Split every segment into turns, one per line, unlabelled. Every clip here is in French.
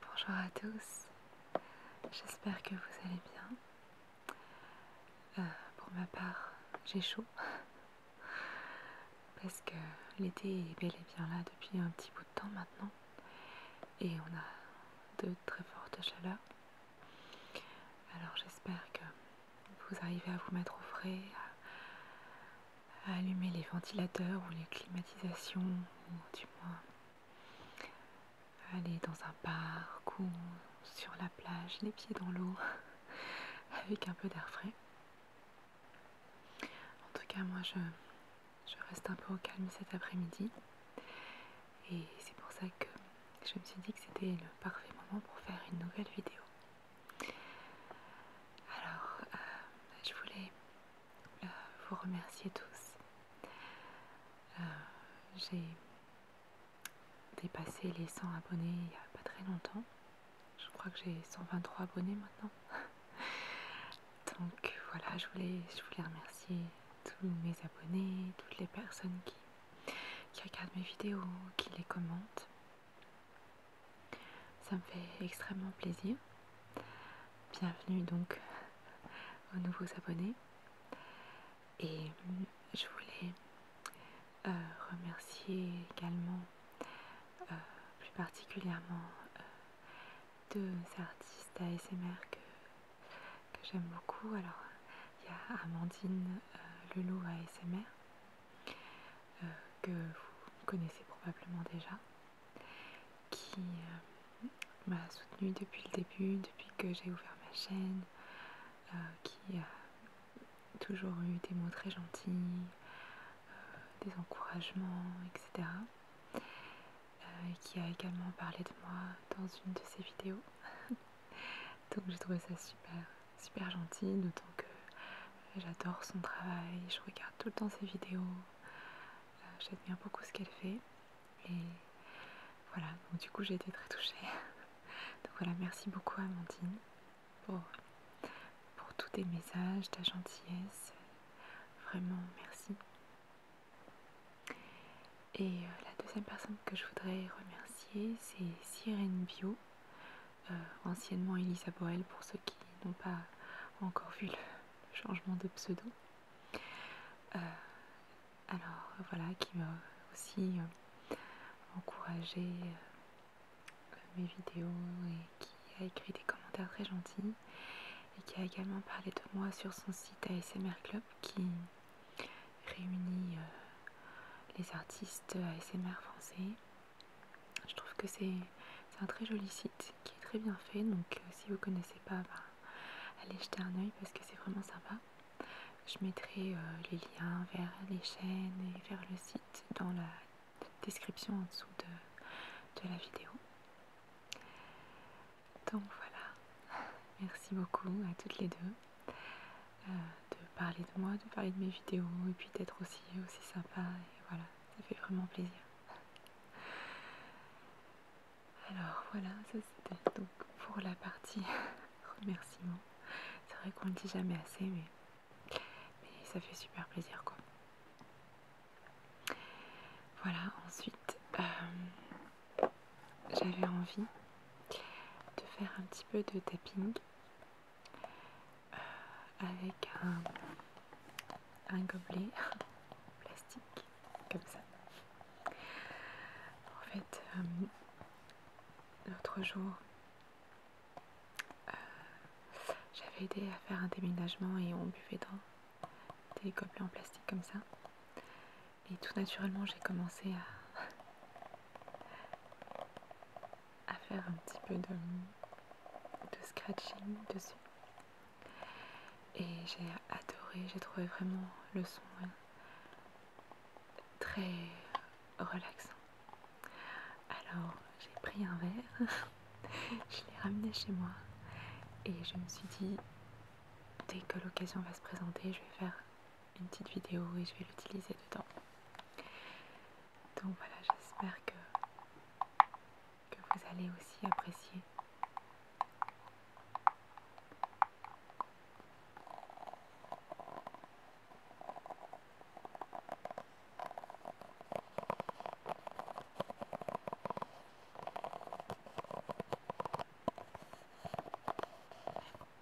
Bonjour à tous, j'espère que vous allez bien. Euh, pour ma part, j'ai chaud parce que l'été est bel et bien là depuis un petit bout de temps maintenant et on a de très fortes chaleurs. Alors j'espère que vous arrivez à vous mettre au frais, allumer les ventilateurs ou les climatisations, ou du moins aller dans un parc ou sur la plage, les pieds dans l'eau, avec un peu d'air frais. En tout cas, moi, je, reste un peu au calme cet après-midi. Et c'est pour ça que je me suis dit que c'était le parfait moment pour faire une nouvelle vidéo. Alors, euh, je voulais euh, vous remerciez tous. Euh, j'ai dépassé les 100 abonnés il n'y a pas très longtemps. Je crois que j'ai 123 abonnés maintenant. Donc voilà, je voulais, remercier tous mes abonnés, toutes les personnes qui regardent mes vidéos, qui les commentent. Ça me fait extrêmement plaisir. Bienvenue donc aux nouveaux abonnés. Et je voulais euh, remercier également euh, plus particulièrement euh, deux artistes ASMR que, j'aime beaucoup. Alors il y a Amandine Lulou ASMR euh, que vous connaissez probablement déjà, qui euh, m'a soutenue depuis le début, depuis que j'ai ouvert ma chaîne, euh, qui a toujours eu des mots très gentils, des encouragements, etc. et qui a également parlé de moi dans une de ses vidéos. Donc j'ai trouvé ça super, super gentil, d'autant que j'adore son travail, je regarde tout le temps ses vidéos, euh, j'aime j'admire beaucoup ce qu'elle fait. Et voilà, donc du coup j'ai été très touchée. donc voilà, merci beaucoup Amandine pour, pour tous tes messages, ta gentillesse. Vraiment, merci. Et euh, la deuxième personne que je voudrais remercier, c'est Sirène Bio. Euh, anciennement Elisa Borel pour ceux qui n'ont pas encore vu le, changement de pseudo. Euh, alors voilà, qui m'a aussi euh, encouragé mes vidéos et qui a écrit des commentaires très gentils et qui a également parlé de moi sur son site ASMR Club qui réunit les artistes ASMR français je trouve que c'est un très joli site qui est très bien fait. Donc, euh, si vous connaissez pas, ben, allez jeter un oeil parce que c'est vraiment sympa. Je mettrai euh, les liens vers les chaînes et vers le site dans la description en dessous de la vidéo. Donc voilà, merci beaucoup à toutes les deux. Euh, de parler de moi, de parler de mes vidéos et puis d'être aussi, aussi sympa. Et voilà, ça fait vraiment plaisir. Alors voilà, ça c'était donc pour la partie remerciement. C'est vrai qu'on ne dit jamais assez, mais, ça fait super plaisir quoi. Voilà, ensuite euh, j'avais envie de faire un petit peu de tapping avec un, un gobelet plastique comme ça. En fait, euh, l'autre jour, euh, j'avais aidé à faire un déménagement et on buvait dans des gobelets en plastique comme ça. Et tout naturellement, j'ai commencé à, à faire un petit peu de, scratching dessus. Et j'ai adoré, j'ai trouvé vraiment le son euh, très relaxant. Alors j'ai pris un verre, je l'ai ramené chez moi et je me suis dit dès que l'occasion va se présenter, je vais faire une petite vidéo et je vais l'utiliser dedans. Donc voilà, j'espère que, que vous allez aussi apprécier.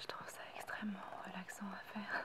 Je trouve ça extrêmement relaxant à faire.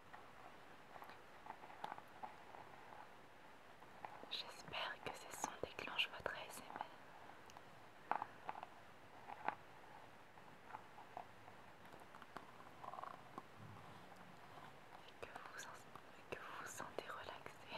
J'espère que ces sons déclenche votre ASMR. Et que vous, vous sentez relaxé.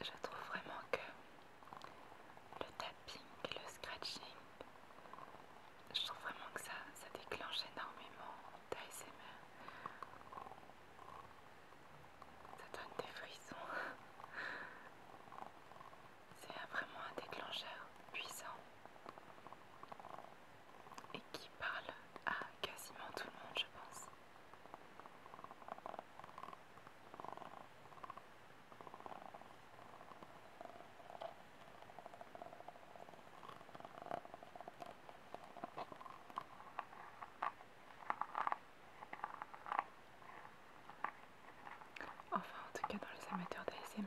Je trouve vraiment que le tapping et le scratching, je trouve vraiment que ça, ça déclenche énormément d'ASMR. Ça donne des frissons. C'est vraiment un déclencheur puissant et qui parle à quasiment tout le monde, je pense.
Enfin, en tout cas, dans les amateurs d'ASMR.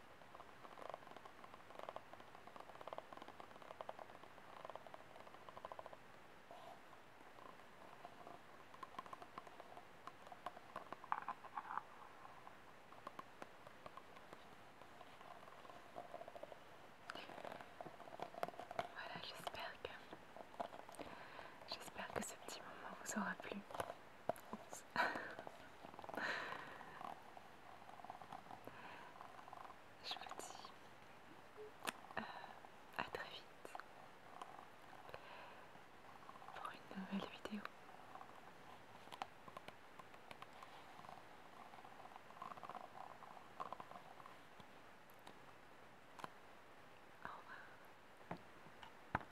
Voilà, j'espère que, j'espère que ce petit moment vous aura plu. Je vous dis
euh, à très vite pour une nouvelle vidéo. Au revoir.